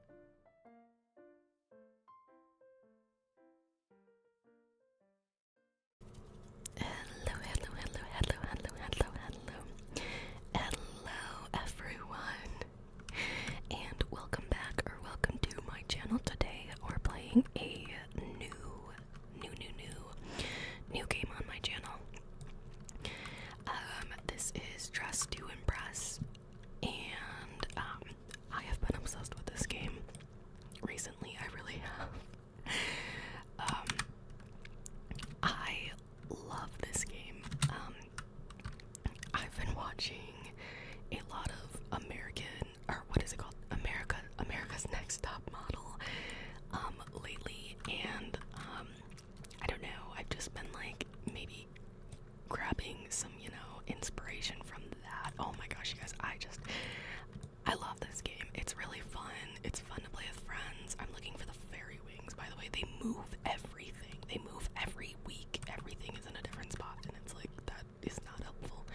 Hello, hello, hello, hello, hello, hello, hello. Hello, everyone. And welcome back or welcome to my channel. Today we're playing a new, new, new, new, new game on my channel. Um, this is dressed to Impress, and um, I have been obsessed with this game recently. I really have. um, I love this game. Um, I've been watching a lot of American, or what is it called? America, America's Next Top Model, um, lately, and um, I don't know, I've just been like maybe grabbing some, you know, inspiration from that. Oh my gosh, you guys, I just I love this game. It's really fun. It's fun to play with friends. I'm looking for the fairy wings, by the way. They move everything. They move every week. Everything is in a different spot, and it's like that is not helpful.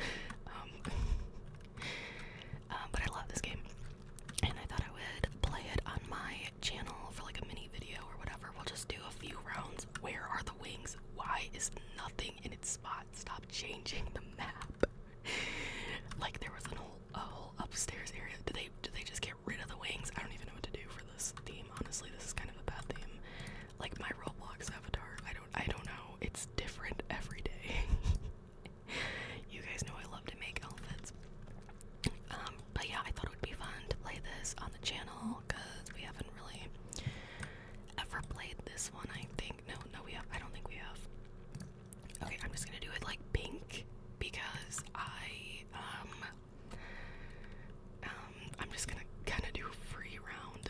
Um, uh, but I love this game and I thought I would play it on my channel for like a mini video or whatever. We'll just do a few rounds. Where are the wings? Why is nothing in its spot? Stop changing the map. like there was an whole, a whole upstairs area. Do they do they just get rid of the wings? I don't even know what to do for this theme. Honestly, this is kind of a bad theme. Like my Roblox avatar. I don't I don't know. It's different every day. you guys know I love to make outfits. Um, but yeah, I thought it would be fun to play this on the channel because we haven't really ever played this one. I think no, no, we have. I don't think we have. Okay, I'm just gonna do it like pink because I um um I'm just gonna kind of do free round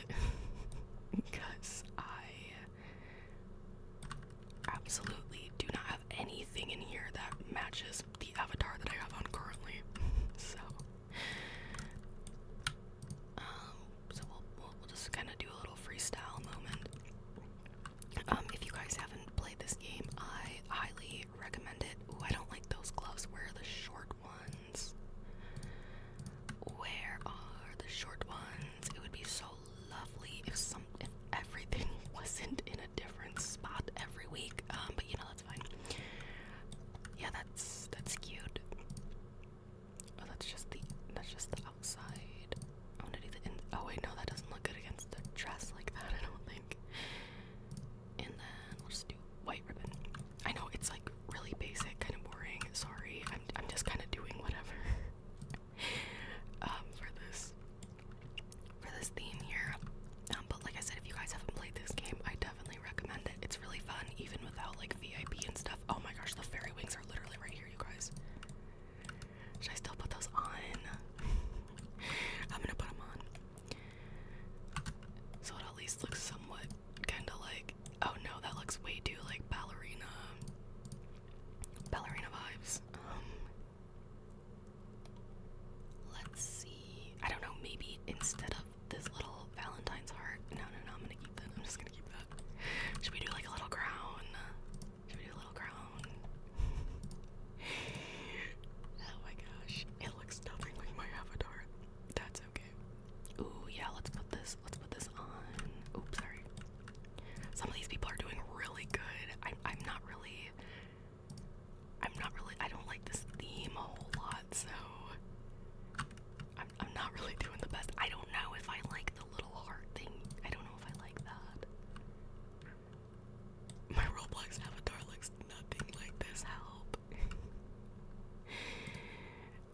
because I absolutely do not have anything in here that matches the avatar that I have on currently. so, um, so we'll, we'll, just kind of do a little freestyle moment. Um, if you guys haven't played this game, I highly recommend it. Ooh, I don't like those gloves. Where are the short ones? Where are the short ones? It would be so lovely if everything wasn't in a different spot every week. Um, but you know that's fine. Yeah, that's that's cute. Oh, that's just the that's just the outside. I want to do the in. Oh wait, no, that doesn't look good against the dress like that. I don't think. And then we'll just do white ribbon. I know it's like really basic, kind of boring. Sorry, I'm I'm just kind of doing whatever. Um, for this for this theme here. Um, but like I said, if you guys haven't played this game, I definitely recommend it. It's really fun, even without like VIP and stuff. Oh my gosh, the fairy wings are literally right here, you guys. Should I still put those on? I'm gonna put them on. So it at least looks somewhat kind of like, oh no, that looks way too like ballerina, ballerina vibes. Um, Let's see. I don't know, maybe instead of this little Valentine's heart. No, no, no, I'm gonna keep that. I'm just gonna keep that. Should we do like a little crown? Should we do a little crown? oh my gosh. It looks nothing like my avatar. That's okay. Ooh, yeah, let's put this, let's put this on. Oops, sorry. Some of these people are doing really good. I'm I'm not really I don't like this theme a whole lot, so I'm I'm not really doing the best. I don't know if I like the little heart thing. I don't know if I like that. My Roblox avatar looks nothing like this. Help.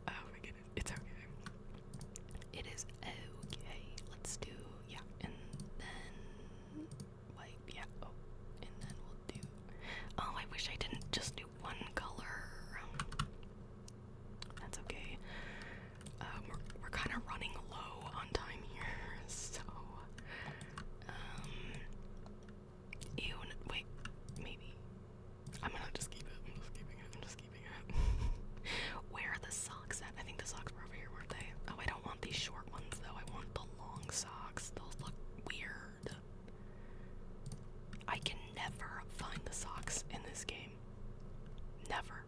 oh my goodness. It's okay. It is okay. Let's do yeah, and then like yeah, oh, and then we'll do. Oh, I wish I didn't just do one color. That's okay. Um, we're we're kind of running low on time here, so um, ew. Wait, maybe I'm gonna just keep it. I'm just keeping it. I'm just Where are the socks at? I think the socks were over here, weren't they? Oh, I don't want these short ones though. I want the long socks. Those look weird. I can never find the socks in this game. Never.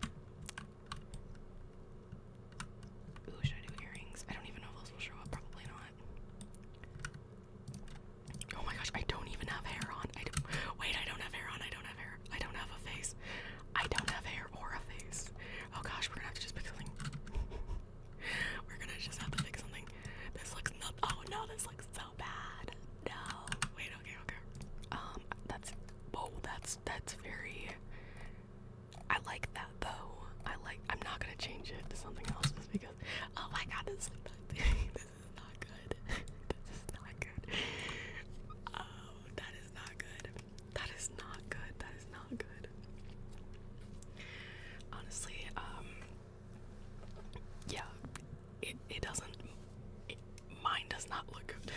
Ooh, should I do earrings? I don't even know if those will show up. Probably not. Oh my gosh, I don't even have hair on. I don't, wait, I don't have hair on. I don't have hair I don't have a face. I don't have hair or a face. Oh gosh, we're gonna have to just pick something. we're gonna just have to pick something. This looks not. Oh no, this looks so bad. No. Wait. Okay. Okay. Um. That's. Whoa. That's. That's very. I like that though. I like. I'm not gonna change it to something else just because. Oh my god, this is not. good. this is not good. that is not good. That is not good. That is not good. Honestly, um, yeah, it it doesn't. mine does not look good.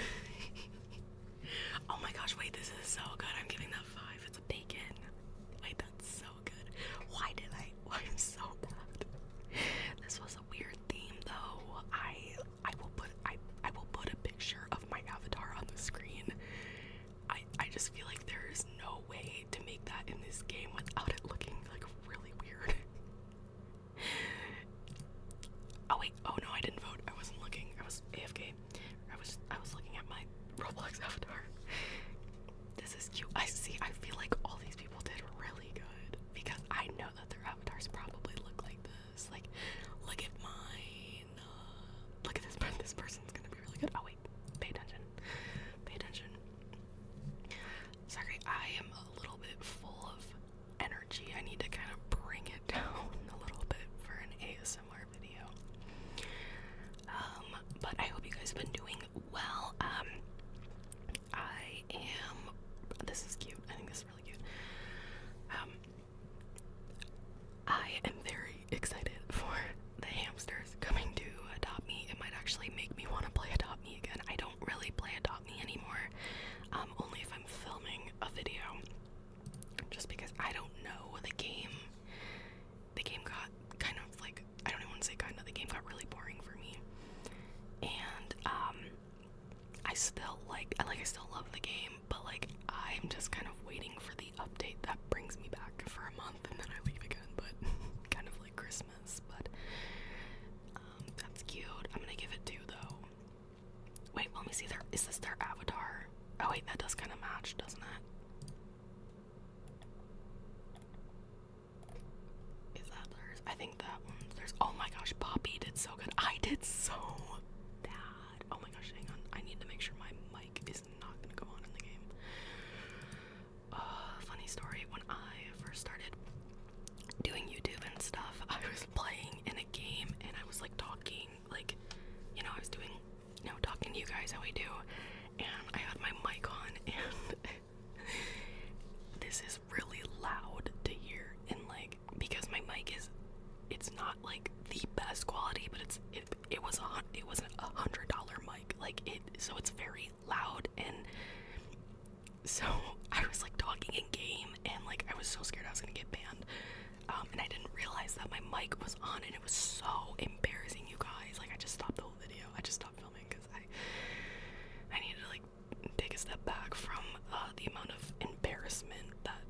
oh my gosh! Wait, this is so good. I'm giving that five. It's a bacon. Wait, that's so good. Why did I? Why am so bad? This was a weird theme, though. I I will put I I will put a picture of my avatar on the screen. I I just feel like there is no way to make that in this game without it looking like really weird. oh wait, oh no, I didn't vote. I wasn't looking. I was AFK. I was I was looking at my Roblox avatar. This is cute. I see. I feel like all these people did really good because I know that their avatars probably look like this this. Like, look at mine. Uh, look at this. This person's gonna be really good. Oh wait, pay attention. Pay attention. Sorry, I am a little bit full of energy. I need to kind of bring it down a little bit for an ASMR video. Um, but I hope you guys been doing well. Um, I am. This is cute. I think this um, I am very excited for the hamsters coming to adopt me. It might actually make me want to play adopt me again. I don't really play adopt me anymore, um, only if I'm filming a video. Just because I don't know the game, the game got kind of like I don't even want to say kind of the game got really boring for me, and um, I still like I like I still love the game, but like I'm just kind of waiting for the update that brings me back for a month and then I leave again, but kind of like Christmas, but um, that's cute. I'm gonna give it two though. Wait, let me see There is this their avatar? Oh wait, that does kinda match, doesn't it? Is that their I think that one's mm, there's oh my gosh, Poppy did so good. I did so bad. Oh my gosh, hang on. I need to make sure my mic is not gonna go on in the game. Uh, funny story, when I first started doing YouTube and stuff, I was playing in a game and I was like talking, like, you know, I was doing you know, talking to you guys how we do, and I had my mic on and this is really loud to hear and like because my mic is it's not like the best quality but it's it, it was on, it was a hundred dollar mic like it so it's very loud and so I was like talking in game and like I was so scared I was gonna get banned um, and I didn't realize that my mic was on and it was so embarrassing you guys like I just stopped the whole video I just stopped filming because I I needed to like take a step back from uh, the amount of embarrassment that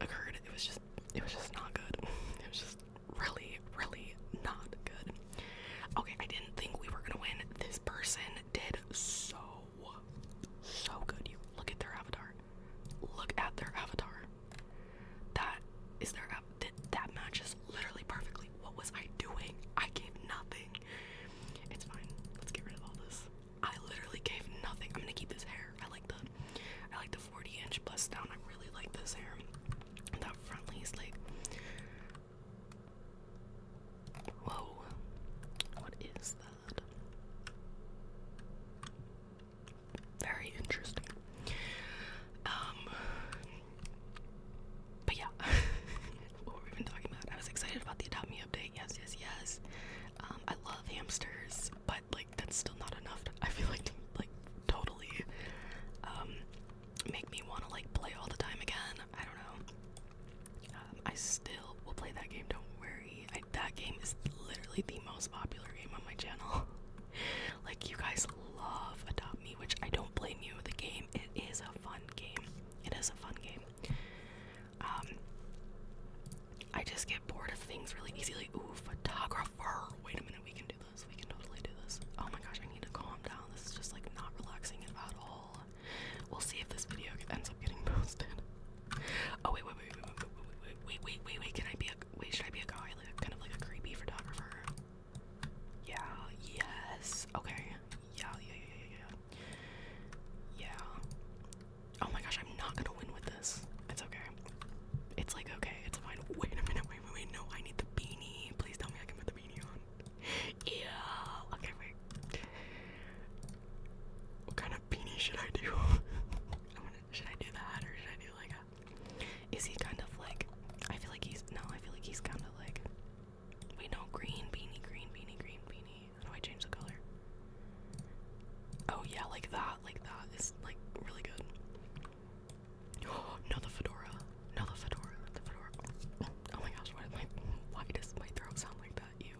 occurred. It was just, it was just not good. It was just really, really not good. Okay, I didn't think we were gonna win. This person did so, so good. You look at their avatar. Look at their avatar. That is their av that, that matches literally perfectly. What was I doing? I gave nothing. It's fine. Let's get rid of all this. I literally gave nothing. I'm gonna keep this hair. I like the I like the 40 inch bust down. I really like this hair. That front lace like Whoa. What is that? Very interesting. Um but yeah, what were we even talking about? I was excited about the Adopt Me update. Yes, yes, yes. Um, I love hamsters, but like that's still not enough. I feel like like totally um, make me want to like play all the time again. I don't know. Um, I still will play that game. Don't worry. that game is literally the most popular game on my channel. like you guys love Adopt Me, which I don't blame you. The game it is a fun fun game. It is a fun game. Um, I just get bored of things really easily. Ooh, photographer. Wait a minute, we can do this. We can totally do this. Oh my gosh, I need to calm down. This is just like not relaxing at all. We'll see if this video ends up getting posted. Oh wait, wait, wait, wait, wait, wait, wait, wait, wait, wait, wait. Can I be a? Wait, should I be a guy? Like kind of like a creepy photographer. Yeah, yes. Okay. Yeah, yeah, yeah, yeah, yeah. Yeah. Oh my gosh, I'm not gonna win with this. It's okay. It's like, okay, it's fine. Wait a minute, wait, wait, wait. No, I need the beanie. Please tell me I can put the beanie on. Yeah. Okay, wait. What kind of beanie should I do? I'm gonna, should I do that or should I do like a. Is he kind of like I feel like he's no, I feel like he's kind of like wait no green beanie green beanie green beanie. How do I change the color? Oh yeah, like that, like that is like really good. Oh, no the fedora. No the fedora. The fedora. Oh, oh my gosh, why did my why does my throat sound like that? Ew.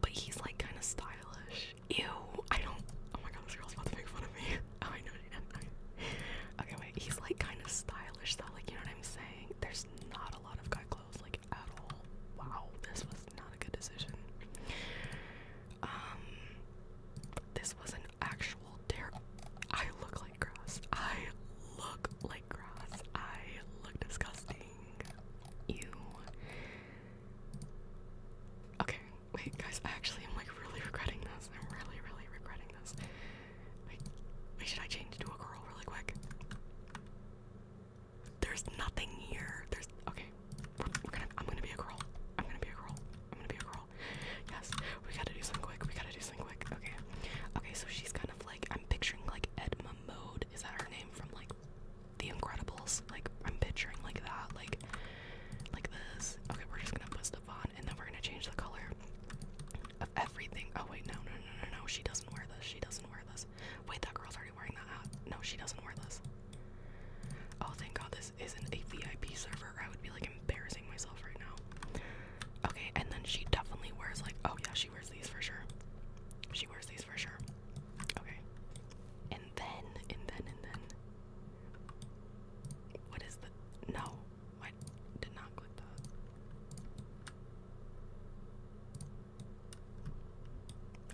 But he's like kind of stylish. Ew. I don't. Oh my god, this girl's about to make fun of me. Oh, I know okay, wait. He's like kind of stylish though. Like you know what I'm saying? There's not a lot of guy clothes like at all. Wow, this was not a good decision. Um, this was an actual dare. I look like grass. I look like grass. I look disgusting. Ew. Okay, Wait, guys, I actually am like really regretting this. I'm really, really regretting this. Wait, wait, should I change to a girl really quick? There's nothing here. There's okay. we're gonna. I'm gonna be a girl. I'm gonna be a girl. I'm gonna be a girl. Yes, we gotta do something quick. We gotta do something quick. Okay, okay. So she's kind of like I'm picturing like Edma Mode. Is that her name from like The Incredibles? Like I'm picturing like that. Like like this. Okay, we're just gonna put stuff on and then we're gonna change the color of everything. Oh wait, no, no, no, no, no. She doesn't wear this. She doesn't wear this. Wait, that girl's already wearing that hat. No, she doesn't wear this. Oh, thank God this isn't a VIP server. I would be like embarrassing myself right now. Okay, and then she definitely wears like, oh yeah, she wears these for sure. She wears these for sure. Okay. And then, and then, and then. What is the? No, I did not click that.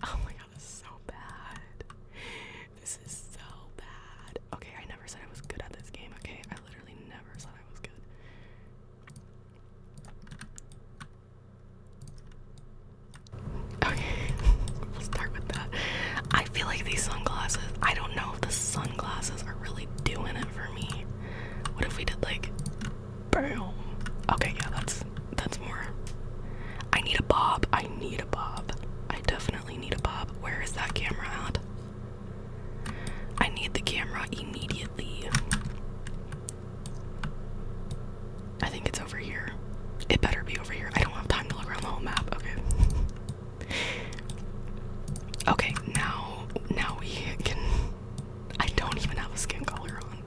Oh my god, this is so bad. This is so bad. Okay, I never said I was good at this game, okay? I literally never said I was good. Okay, start with that. I feel like these sunglasses, I don't know if the sunglasses are really doing it for me. What if we did like boom? Okay, yeah, that's that's more. I need a bob. I need a bob. I definitely need a bob. Where is that camera at? I need the camera immediately. I think it's over here. It better be over here. I don't have time to look around the whole map. Okay. Okay, now now we can I don't even have a skin color on.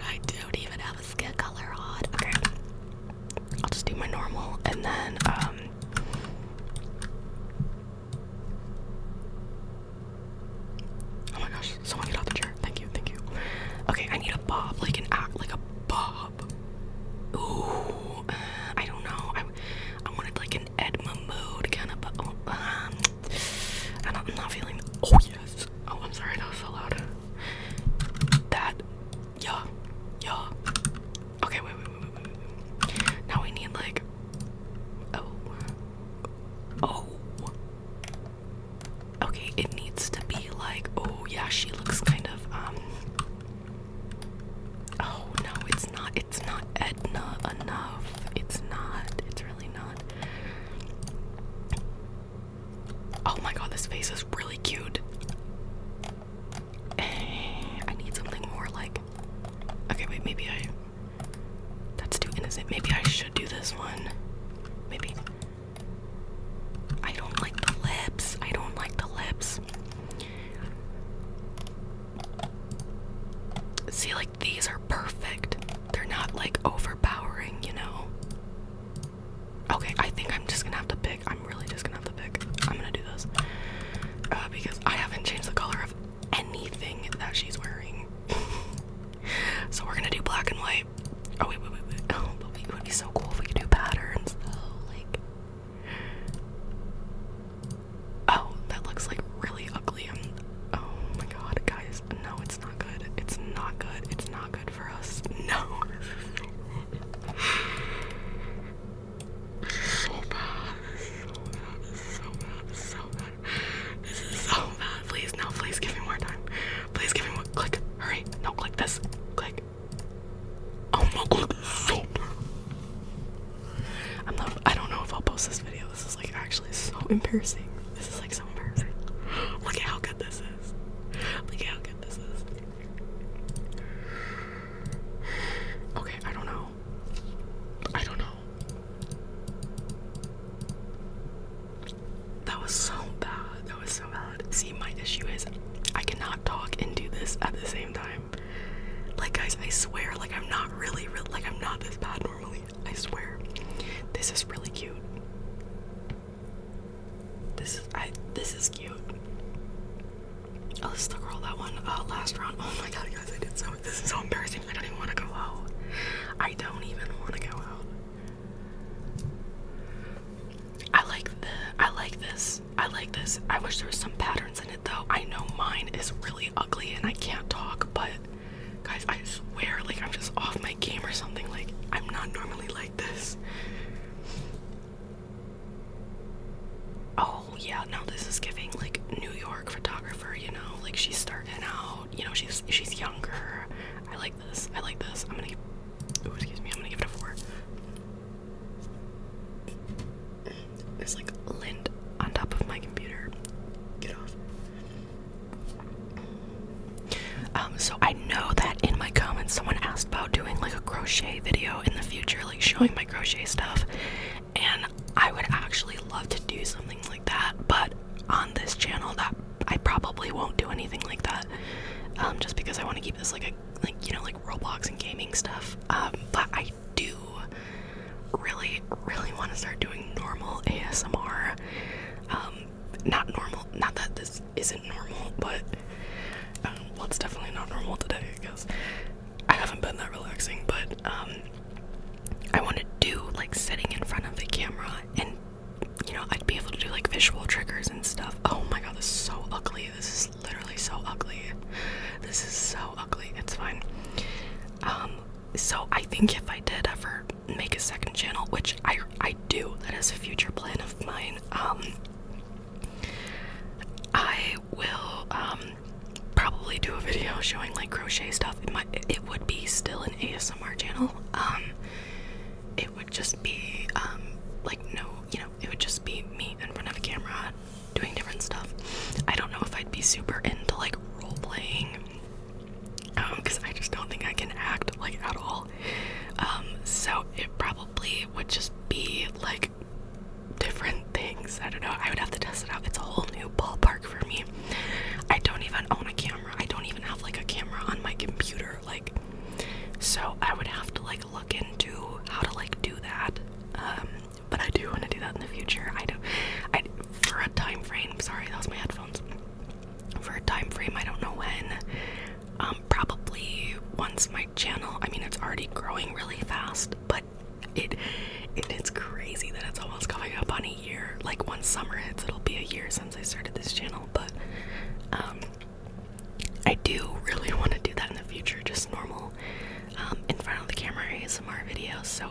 I don't even have a skin color on. Okay. I'll just do my normal and then um Oh my gosh, someone get off the chair. Thank you, thank you. Okay, I need a bob, like an act like a bob. Ooh, I don't know. I, I wanted like an Edma mode kind of, oh, um, I am not feeling. Oh yes. Oh, I'm sorry that yeah, yeah. Okay, wait, wait, wait, wait, wait. Now we need like. Oh. Oh okay, it needs to be like, oh yeah, she looks kind of, um, oh no, it's not, it's not Edna enough. It's not, it's really not. Oh my god, this face is really cute. Eh, I need something more like, okay, wait, maybe I, that's too innocent. Maybe I should do this one. Maybe. I don't like the lips. I don't like the lips. See, like these are perfect. They're not like overpowering, you know? Okay, I think I'm just gonna have to pick. I'm really just gonna have to pick. I'm gonna do this. Uh, because I haven't changed the color of anything that she's wearing. so we're gonna do black and white. Oh wait, wait, wait, wait. Oh, wait, it would be so cool if we could do patterns though. Like. Oh, that looks like really ugly. I'm, um, oh my god, guys. No, it's not good. It's not good. It's not good for us. No. This is so bad. This is so bad. This is so bad. This is so bad. Please, no, please give me more time. Please give me one. Click. Hurry. No, click this. Click. Oh my god. So I'm not I don't know if I'll post this video. This is like actually so embarrassing. This is like so embarrassing. Look at how good this is. Look at how good this is. Okay, I don't know. I don't know. That was so bad. That was so bad. See, my issue is I cannot talk and do this at the same time. Like, guys, I swear, like, I'm not really, like, I'm not this bad normally. I swear. This is really cute. This is, I, this is cute. Oh, the girl that won uh, last round. Oh my god, guys, I did so, this is so embarrassing. I don't even want to go out. I don't even want to go out. I like the I like this. I like this. I wish there was some patterns in it though. I know mine is really ugly and I can't talk, but guys, I swear like I'm just off my game or something. Like I'm not normally like this. Oh yeah, now this is giving like New York photographer, you know, like she's starting out, you know, she's she's younger. I like I like this. I'm gonna give Ooh, excuse me, I'm gonna give it a four. There's like lint on top of my computer. Get off. Um, so I know that in my comments someone asked about doing like a crochet video in the future, like showing my crochet stuff. And I would actually love to do something like that, but on this channel that I probably won't do anything like that, um, just because I want to keep this like a like you know like Roblox and gaming stuff. Um, but I do really really want to start doing normal ASMR. Um, not normal. Not that this isn't normal, but um, well, it's definitely not normal today. I guess I haven't been that relaxing, but I want to do like sitting in front of the camera and you know, I'd be able to do like visual triggers and stuff. Oh my god, this is so ugly. This is literally so ugly. This is so ugly. It's fine. Um, so I think if I did ever make a second channel, which I I do, that is a future plan of mine. Um, I will um probably do a video showing like crochet stuff. It it would be still an ASMR channel. Um, it would just be um, like no you know it would just be me in front of a camera doing different stuff i don't know if i'd be super into like role playing um because i just don't think i can act like at all um so it probably would just be like different things i don't know i would have to test it out it's a whole new ballpark for me i don't even own a camera I don't even have like a camera on my computer, like so I would have to like look into how to like do that. Um, but I do want to do that in the future. I do I for a time frame. Sorry, that was my headphones. For a time frame, I don't know when. Um, probably once my channel. I mean, it's already growing really fast, but it it is crazy that it's almost coming up on a year. Like once summer hits, it'll be a year since I started this channel, but um, I do really want to do that in the future, just normal um, in front of the camera ASMR videos. So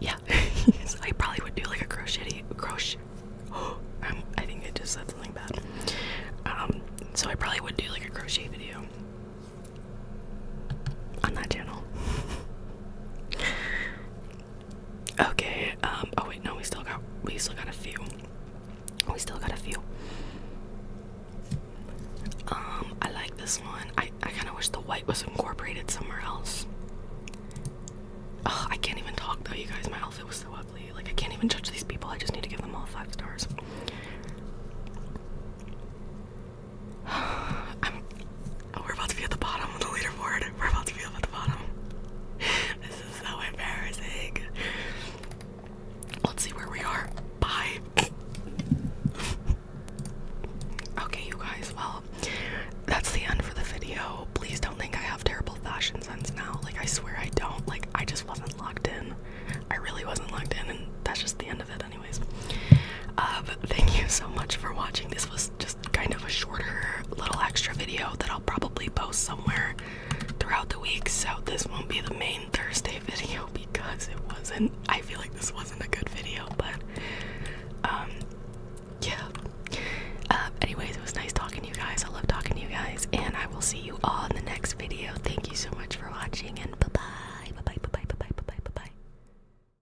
yeah, I probably would do like a crochet crochet. Oh, um, I think I just said something bad. Um, so I probably would do like a crochet video on that channel. Okay, um, oh wait, no, we still got, we still got a few. We still got a few. Um, I like this one. I, I kind of wish the white was incorporated somewhere else. Ugh, I can't even talk though, you guys. My outfit was so ugly. Like, I can't even judge these people. I just need to give them all five stars. Oh, we're about to be at the bottom of the leaderboard. We're about to be at the bottom. This is so embarrassing. Let's see where we are. Bye. okay, you guys. Well, that's the end for the video. Please don't think I have terrible fashion sense now. Like, I swear I don't. Like, I just wasn't locked in. I really wasn't locked in, and that's just the end of it, anyways. Uh, but thank you so much for watching. This was is just kind of a shorter little extra video that I'll probably post somewhere throughout the week. So this won't be the main Thursday video because it wasn't. I feel like this wasn't a good video, but um, yeah. Uh, anyways, it was nice talking to you guys. I love talking to you guys, and I will see you all in the next video. Thank you so much for watching, and bye bye, bye bye, bye bye, bye bye, bye bye, bye bye.